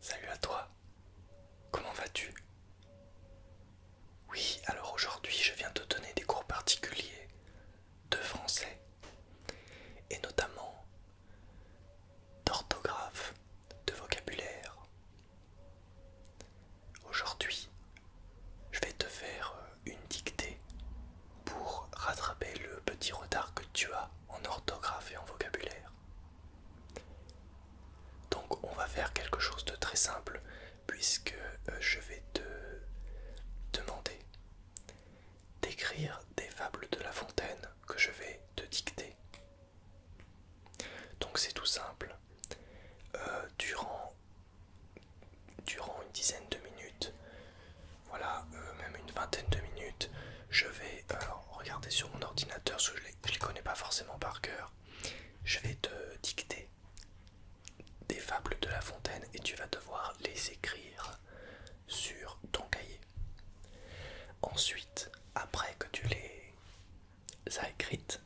Salut à toi, comment vas-tu Oui, alors aujourd'hui je viens te donner des cours particuliers de français et notamment d'orthographe, de vocabulaire. Aujourd'hui, je vais te faire euh, une dictée pour rattraper le petit retard que tu as en orthographe et en vocabulaire. Donc on va faire quelque chose de très simple puisque euh, je vais te demander d'écrire des fables de La Fontaine que je vais te dicter. Donc c'est tout simple. Euh, durant, durant une dizaine de minutes, voilà, euh, même une vingtaine de minutes, je vais alors regarder sur mon ordinateur, ce que je ne les connais pas forcément par cœur. Je vais te dicter des fables de La Fontaine et tu vas devoir les écrire sur ton cahier. Ensuite, après que tu les as écrites,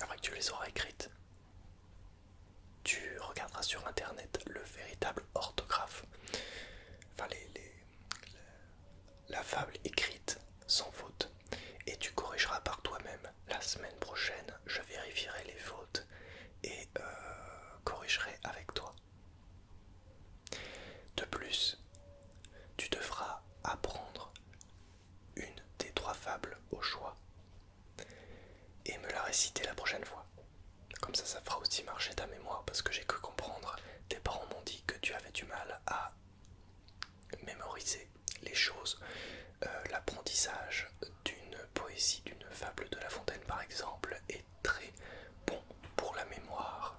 après que tu les auras écrites, tu regarderas sur internet le véritable orthographe, enfin les, la, fable écrite sans faute, et tu corrigeras par toi-même. La semaine prochaine, je vérifierai les fautes et euh, corrigerai avec toi. De plus, tu devras apprendre une des trois fables au choix et me la réciter la prochaine fois. Comme ça, ça fera aussi marcher ta mémoire parce que j'ai que comprendre. Tes parents m'ont dit que tu avais du mal à mémoriser les choses. Euh, l'apprentissage d'une poésie, d'une fable de La Fontaine par exemple, très bon pour la mémoire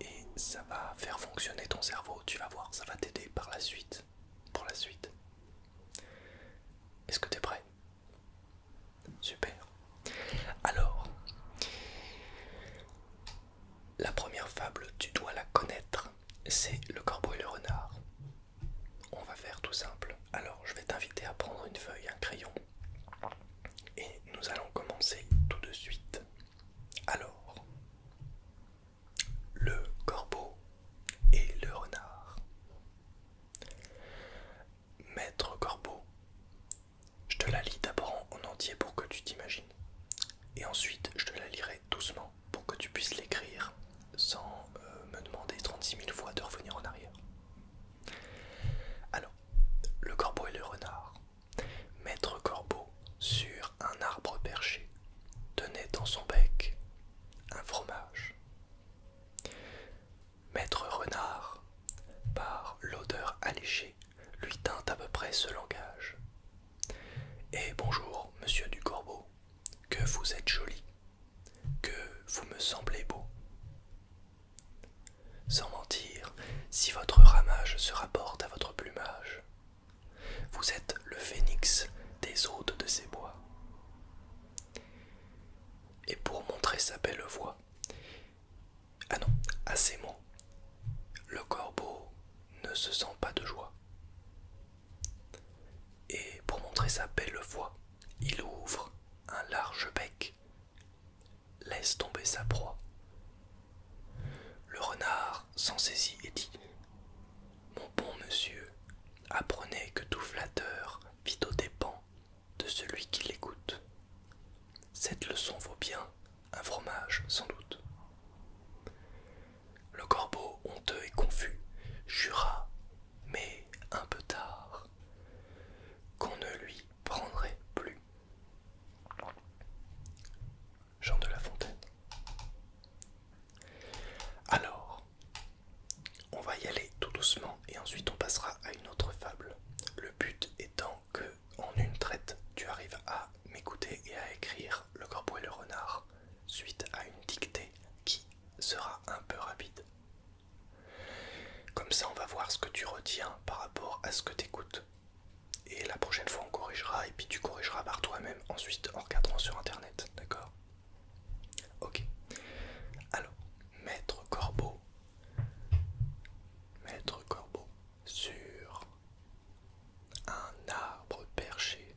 et ça va faire fonctionner ton cerveau, tu vas voir, ça va t'aider par la suite. Pour la suite. Est-ce que t'es prêt Super. Alors, la première fable, tu dois la connaître, c'est le corbeau et le renard. On va faire tout simple. Alors, je vais t'inviter à prendre une feuille, un crayon et nous allons commencer tout de suite. Alors, le corbeau et le renard. Maître corbeau, je te la lis d'abord en entier pour que tu t'imagines. Et ensuite, je te la lirai doucement pour que tu puisses l'écrire sans euh, me demander 36 000 fois de revenir en arrière. Alors, le corbeau et le renard. Maître Corbeau, sur un arbre perché, tenait dans son bec un fromage. Maître Renard, par l'odeur alléchée, lui tint à peu près ce langage. Et eh, bonjour, monsieur du Corbeau, que vous êtes joli, que vous me semblez beau. Sans mentir, si votre ramage se rapporte à votre plumage, vous êtes le phénix des hôtes de ces bois. Et pour montrer sa belle voix, ah non, à ces mots, le corbeau ne se sent pas de joie. Et pour montrer sa belle voix, il ouvre un large bec laisse tomber sa proie. Le renard s'en saisit et dit Mon bon monsieur, apprenez que tout flatteur vit au dépens de celui qui l'écoute. Cette leçon vaut bien un fromage, sans doute. Le corbeau, honteux et confus, jura, mais un peu tard, qu'on ne lui prendrait plus. Jean de La Fontaine. Alors, on va y aller tout doucement et ensuite on passera à une autre fable. Le but étant que, en une traite, tu arrives à m'écouter et à écrire Le corbeau et le renard suite à une dictée qui sera un peu rapide. Comme ça, on va voir ce que tu retiens par rapport à ce que tu écoutes. Et la prochaine fois on corrigera et puis tu corrigeras par toi-même ensuite en regardant sur internet, d'accord Ok. Alors, maître corbeau. Maître corbeau sur un arbre perché.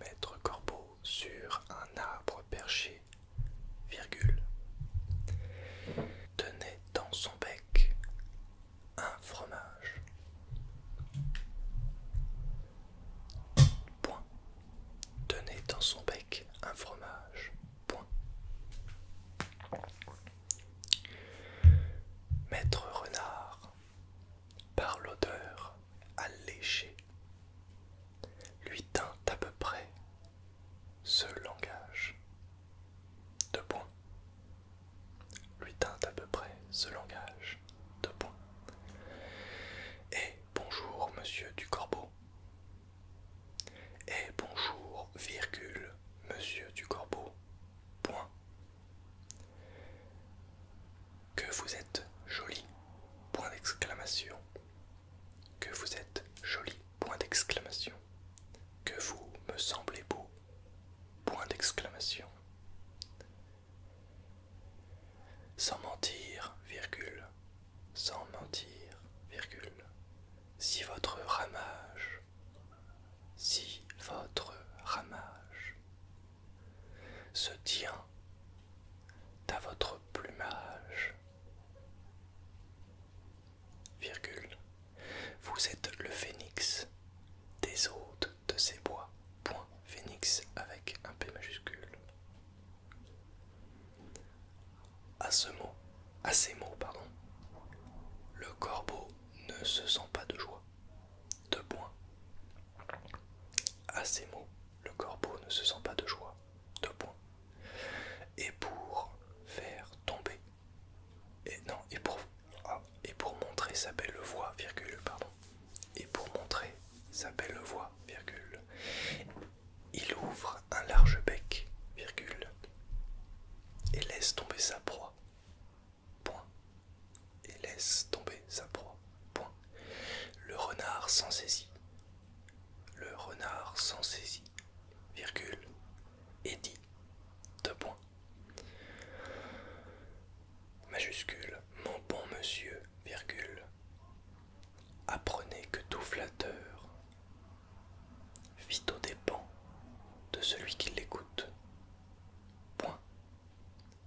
Maître corbeau sur un arbre perché. Virgule tenait dans son bec un fromage. Point. Tenait dans son bec un fromage. Point. Maître Renard, par l'odeur alléchée, lui tint à peu près ce langage. Deux points. Lui tint à peu près ce langage. Deux points. Et bonjour, monsieur du corbeau. Et bonjour, virgule, monsieur du corbeau. Point. Que vous êtes joli. Point d'exclamation. Que vous êtes joli. Point d'exclamation. Que vous me semblez beau. Point d'exclamation. Sans mentir, virgule. Sans mentir, virgule. Si votre ramage. Si votre ramage se tient à votre plumage virgule, vous êtes le phénix des hôtes de ces bois, point phénix avec un P majuscule. À ce mot, à ces mots, pardon, le corbeau ne se sent pas de joie, de point. À ces mots, le corbeau ne se sent pas de joie, de point. Et pour faire tomber et non, et pour, ah, et pour montrer sa belle voix, virgule, pardon. Et pour montrer sa belle voix, virgule. Il ouvre un large bec, virgule. Et laisse tomber sa proie. Point. Et laisse tomber sa proie. Point. Le renard s'en saisit. Le renard s'en saisit, virgule. Et dit. Deux points. Majuscule, mon bon monsieur, virgule. Apprenez que tout flatteur vit au dépens de celui qui l'écoute. Point.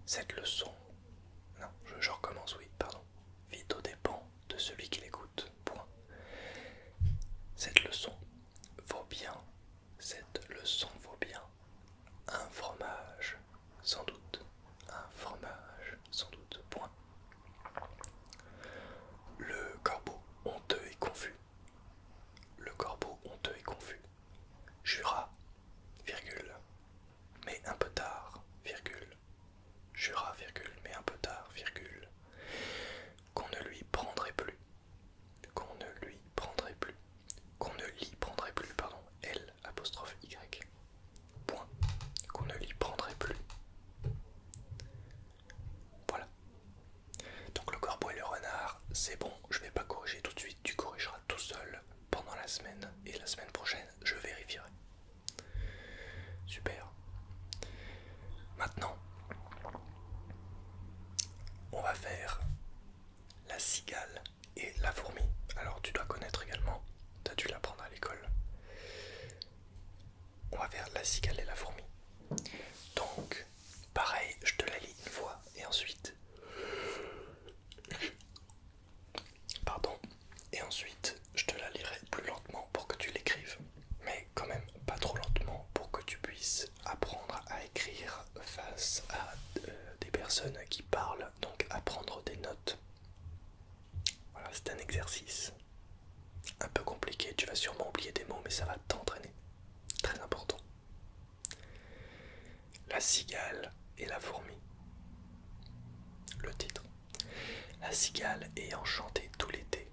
Cette leçon. Non, je, recommence, oui, pardon. Vit aux dépens de celui qui l'écoute. Point. Cette leçon vaut bien, cette leçon vaut bien un fromage, sans doute, un fromage, sans doute, point. Le corbeau honteux et confus, le corbeau honteux et confus, jura, virgule, mais un peu tard, virgule, jura, virgule, mais un peu tard, virgule, qu'on ne lui prendrait plus, qu'on ne lui prendrait plus, qu'on ne l'y prendrait plus, pardon, L apostrophe Y, point, qu'on ne l'y prendrait plus. Voilà. Donc le corbeau et le renard, c'est bon, je ne vais pas corriger tout de suite, tu corrigeras tout seul pendant la semaine, et la semaine prochaine, je vérifierai. Super. Maintenant, on va faire la cigale et la fourmi. Alors tu dois connaître également, tu as dû l'apprendre à l'école. On va faire la cigale et la fourmi. Donc pareil, je te la lis une fois et ensuite... Pardon. Et ensuite, je te la lirai plus lentement pour que tu l'écrives. Mais quand même pas trop lentement pour que tu puisses apprendre à écrire face à euh, des personnes qui parlent, donc apprendre des notes. Voilà, c'est un exercice un peu compliqué, tu vas sûrement oublier des mots, mais ça va t'entraîner. Très important. La cigale et la fourmi. Le titre. La cigale ayant chanté tout l'été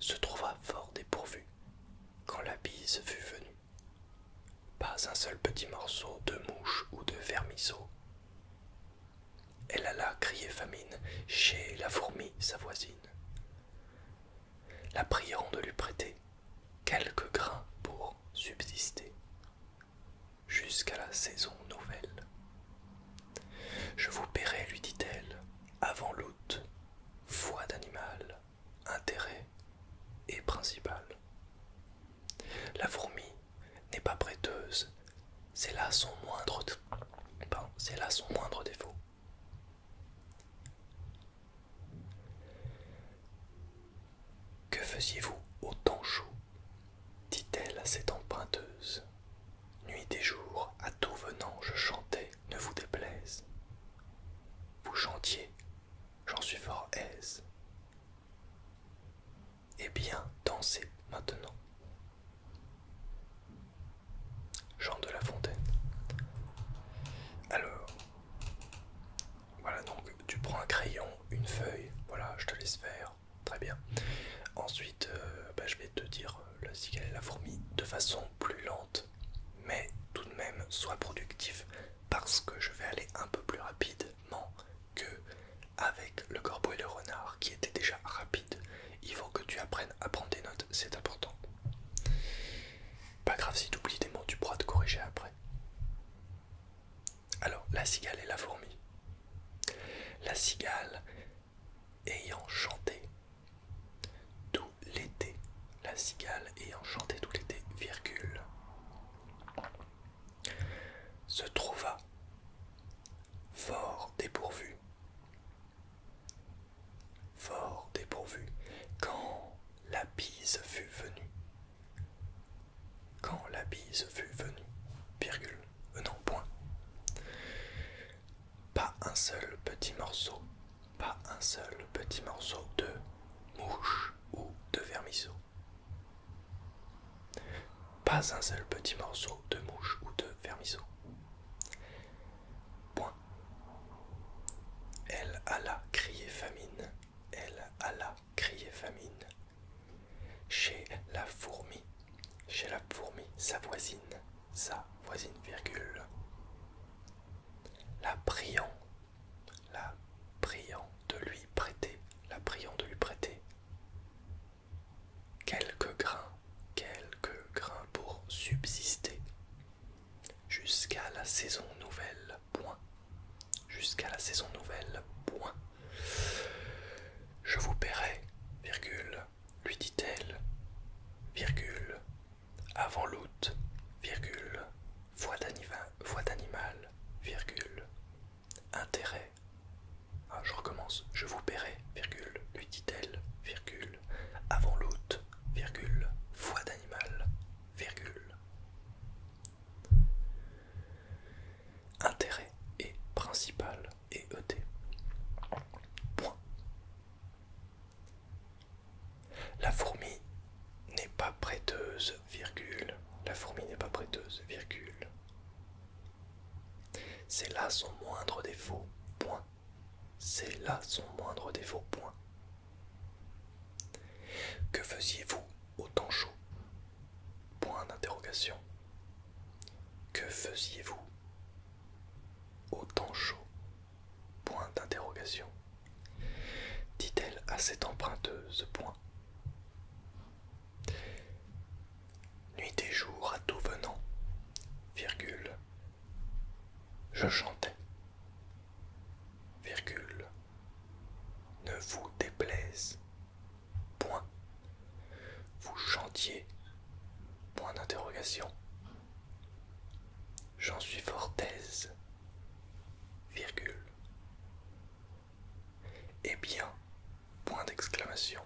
se trouva fort dépourvue quand la bise fut venue. Pas un seul petit morceau de mouche ou de vermisseau. Elle alla crier famine chez la fourmi, sa voisine, la priant de lui prêter quelques grains pour subsister jusqu'à la saison nouvelle. Je vous paierai, lui dit-elle, avant l'août, foi d'animal, intérêt et principal. La fourmi n'est pas prêteuse, c'est là, son moindre... là son moindre défaut. Que faisiez-vous au temps chaud dit-elle à cette emprunteuse. Nuit et jour, à tout venant, je chantais, ne vous déplaise. Vous chantiez, j'en suis fort aise. et eh bien, dansez maintenant. Jean de la Fontaine. Alors, voilà donc, tu prends un crayon, une feuille, voilà, je te laisse faire, très bien. Ensuite, euh, bah, je vais te dire euh, la cigale et la fourmi de façon plus lente mais tout de même sois productif parce que je vais aller un peu plus rapidement que avec le corbeau et le renard qui étaient déjà rapides Il faut que tu apprennes à prendre des notes, c'est important. Pas grave si tu oublies des mots, tu pourras te corriger après. Alors, la cigale et la fourmi. La cigale, ayant chanté, tout l'été, la cigale ayant chanté tout l'été, virgule, se trouva fort dépourvu, fort dépourvu, quand la bise fut venue, quand la bise fut venue, virgule, euh, non, point, pas un seul petit morceau pas un seul petit morceau de mouche ou de vermisseau. Pas un seul petit morceau de mouche ou de vermisseau. Point. Elle alla crier famine, elle alla crier famine. Chez la fourmi, chez la fourmi, sa voisine, sa voisine, virgule. La priant la priant de lui prêter, la priant de lui prêter quelques grains, quelques grains pour subsister jusqu'à la saison nouvelle. Point. Jusqu'à la saison nouvelle. Point. Je vous paierai, virgule, lui dit-elle, virgule, avant l'août, virgule, voix d'animal, virgule, intérêt. Ah, je recommence, je vous paierai, virgule, lui dit-elle, virgule, avant l'août, virgule, voix d'animal, virgule. Intérêt et principal et ET. Point. La fourmi n'est pas prêteuse, virgule. La fourmi n'est pas prêteuse, virgule. C'est là son moindre défaut, point. C'est là son moindre défaut, point. Que faisiez-vous au temps chaud Point d'interrogation. Que faisiez-vous au temps chaud Point d'interrogation. Dit-elle à cette emprunteuse. Point. Nuit et jour à tout venant. Virgule. Je chantais. Virgule. Ne vous déplaise. Point. Vous chantiez. Point d'interrogation. J'en suis fort aise. Eh bien, point d'exclamation.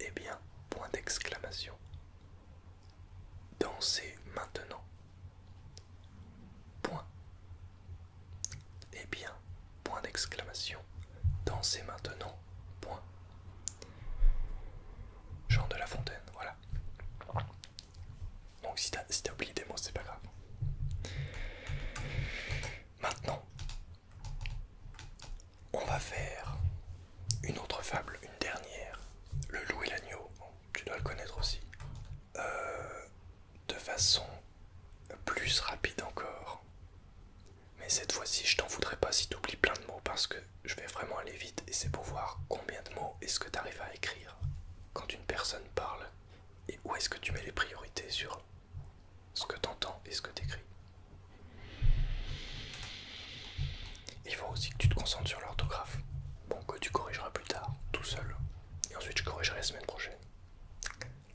Eh bien, point d'exclamation. Dansez maintenant. Point. Eh bien, point d'exclamation. Dansez maintenant. Point. Jean de La Fontaine, voilà. Donc si t'as oublié des mots, c'est pas grave. Maintenant, on va faire une autre fable, une dernière. Le loup et l'agneau, tu dois le connaître aussi. Euh, de façon plus rapide encore. Mais cette fois-ci, je t'en voudrais pas si tu t'oublies plein de mots parce que je vais vraiment aller vite et c'est pour voir combien de mots est-ce que t'arrives à écrire quand une personne parle et où est-ce que tu mets les priorités sur ce que tu entends et ce que t'écris écris. Il faut aussi que tu te concentres sur l'orthographe. Bon, que tu corrigeras plus tard, tout seul. Et ensuite, je corrigerai la semaine prochaine.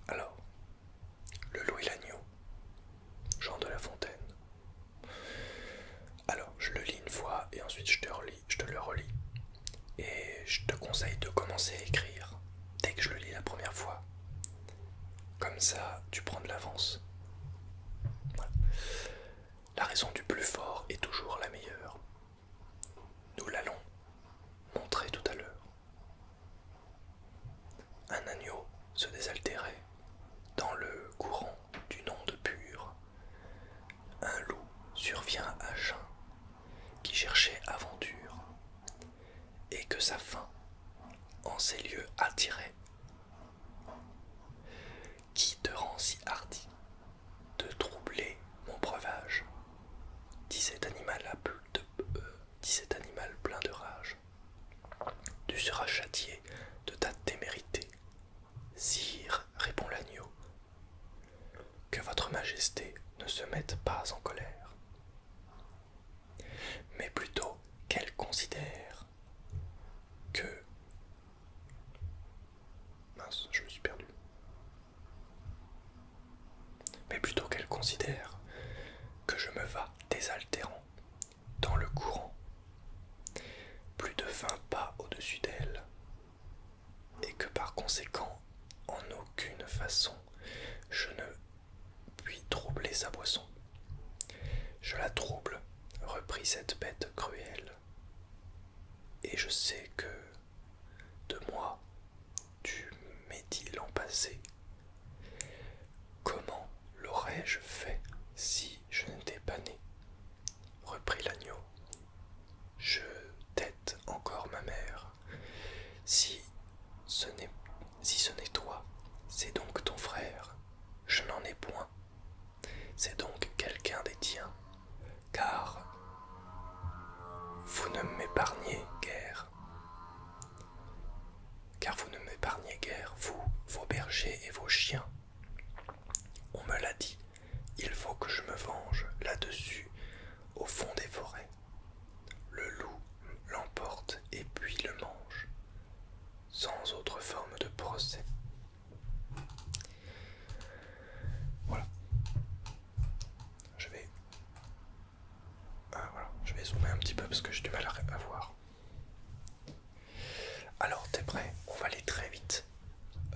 Alors, le Louis Lagneau, Jean de La Fontaine. Alors, je le lis une fois et ensuite je te le relis. Et je te conseille de commencer à écrire dès que je le lis la première fois. Comme ça, tu prends de l'avance. La raison du plus fort est toujours la meilleure. Nous l'allons montrer tout à l'heure. Un agneau se désaltérait dans le courant d'une onde pure. Un loup survient à Jean, qui cherchait aventure, et que sa faim en ces lieux attirait. Qui te rend si hardi de troubler mon breuvage dit cet, animal à de, euh, cet animal plein de rage. Tu seras châtié de ta témérité, Sire, répond l'agneau, que votre majesté ne se mette pas en colère, mais plutôt qu'elle considère que... Mince, je me suis perdu. Mais plutôt qu'elle considère que je me vas désaltérant dans le courant, plus de vingt pas au-dessus d'elle, et que par conséquent, en aucune façon, je ne puis troubler sa boisson. Je la trouble, reprit cette bête cruelle, et je sais que de moi tu m'es dit l'an passé. Comment l'aurais-je fait si je n'étais pas né reprit l'agneau. Je tête encore ma mère. Si ce n'est si ce n'est toi, c'est donc ton frère. Je n'en ai point. C'est donc quelqu'un des tiens, car vous ne m'épargnez guère. Car vous ne m'épargnez guère, vous, vos bergers et vos chiens. On me l'a dit, il faut que je me venge là-dessus, au fond des forêts. Le loup l'emporte et puis le mange, sans autre forme de procès. Voilà. Je vais... Ah, je vais zoomer un petit peu parce que j'ai du mal à voir. Alors, t'es prêt On va aller très vite.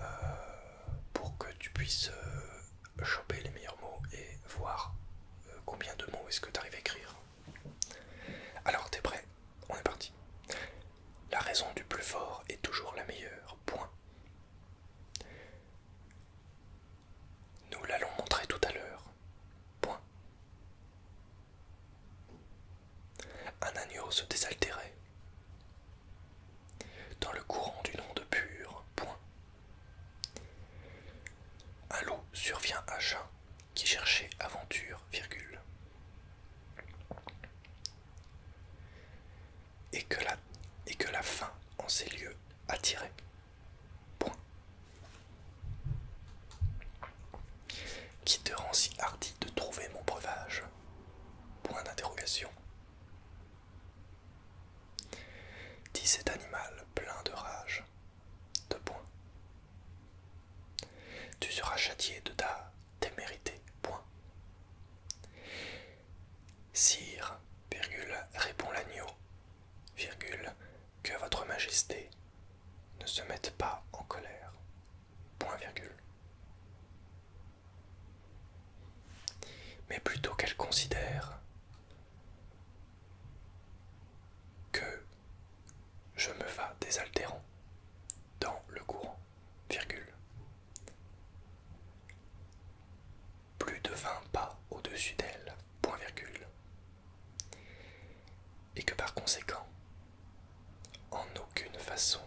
Euh pour que tu puisses euh, choper les meilleurs mots et voir euh, combien de mots est-ce que tu arrives à écrire. Alors t'es prêt On est parti. La raison du plus fort est toujours la meilleure. Point. Nous l'allons montrer tout à l'heure. Point. Un agneau se désaltérait. Dans le courant d'une onde pure, point. Un loup survient à Jeun qui cherchait aventure, virgule. Et que la, et que la faim en ces lieux attirait, Qui te rend si hardi de trouver mon breuvage Point d'interrogation. Dis cet animal plein de rage. De point. Tu seras châtié de ta témérité. Point. Sire, virgule, répond l'agneau, virgule, que votre majesté ne se mette pas en colère. Point virgule mais plutôt qu'elle considère que je me vas désaltérant dans le courant, Plus de 20 pas au-dessus d'elle, point virgule. Et que par conséquent, en aucune façon,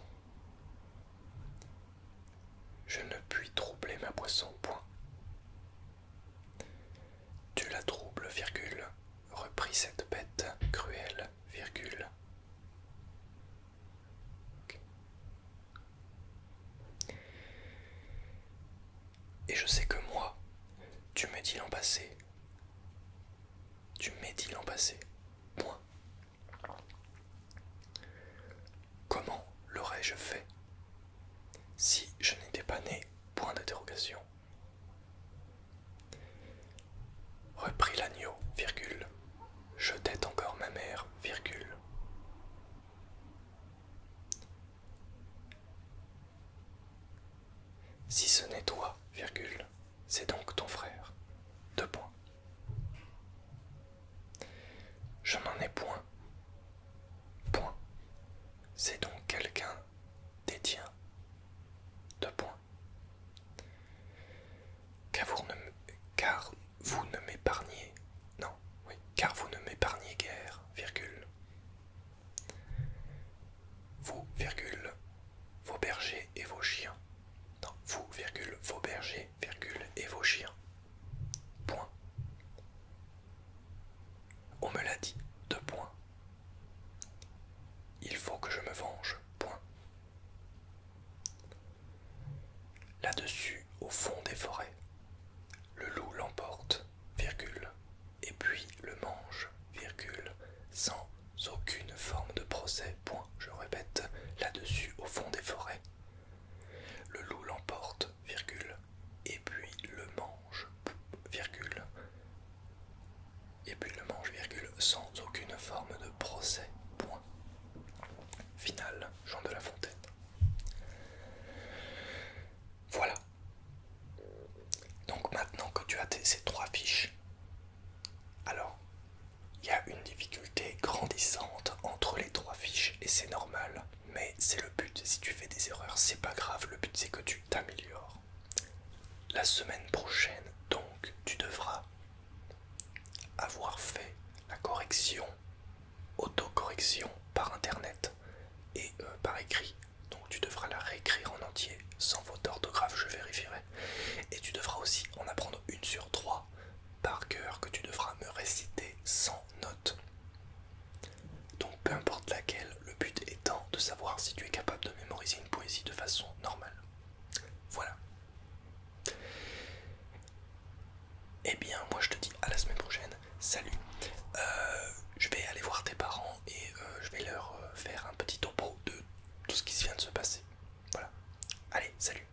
je ne puis troubler ma boisson, point. Tu la troubles, virgule, reprit cette bête cruelle, virgule. Et je sais que moi, tu m'es dit l'an passé. Tu m'es dit l'an passé. Point. Comment l'aurais-je fait si je n'étais pas né Point d'interrogation. Reprit l'agneau, virgule. t'aide encore ma mère, virgule. Si ce n'est toi, virgule, c'est donc ton frère. Deux points. Je n'en ai point. Point. C'est donc quelqu'un détient. De point. Car vous ne, car vous ne m'épargnez. Non, oui. Car vous ne m'épargnez guère, Vous, virgule, vos bergers et vos chiens. Non, vous, virgule, vos bergers et vos chiens. Point. On me l'a dit, De point Il faut que je me venge, point. Là-dessus, au fond des forêts, le loup l'emporte, virgule, et puis le mange, virgule, sans aucune forme de procès, point. Je répète, là-dessus, au fond des forêts, le loup l'emporte, virgule, et puis le mange, virgule, et puis le mange, virgule, sans aucune forme de procès, point. Final, Jean de la Fontaine. Voilà. Donc maintenant que tu as ces trois fiches, alors il y a une difficulté grandissante entre les trois fiches et c'est normal. Mais c'est le but, si tu fais des erreurs, c'est pas grave, le but c'est que tu t'améliores. La semaine prochaine, donc, tu devras avoir fait la correction, autocorrection par internet et euh, par écrit. Donc tu devras la réécrire en entier, sans faute d'orthographe, je vérifierai. Et tu devras aussi en apprendre une sur trois par cœur que tu devras me réciter sans notes. Donc peu importe laquelle, le but étant de savoir si tu es capable de mémoriser une poésie de façon normale. Voilà. Eh bien, moi je te dis à la semaine prochaine. Salut. Euh, je vais aller voir tes parents et euh, je vais leur euh, faire un petit topo de tout ce qui se vient de se passer. Voilà. Allez, salut.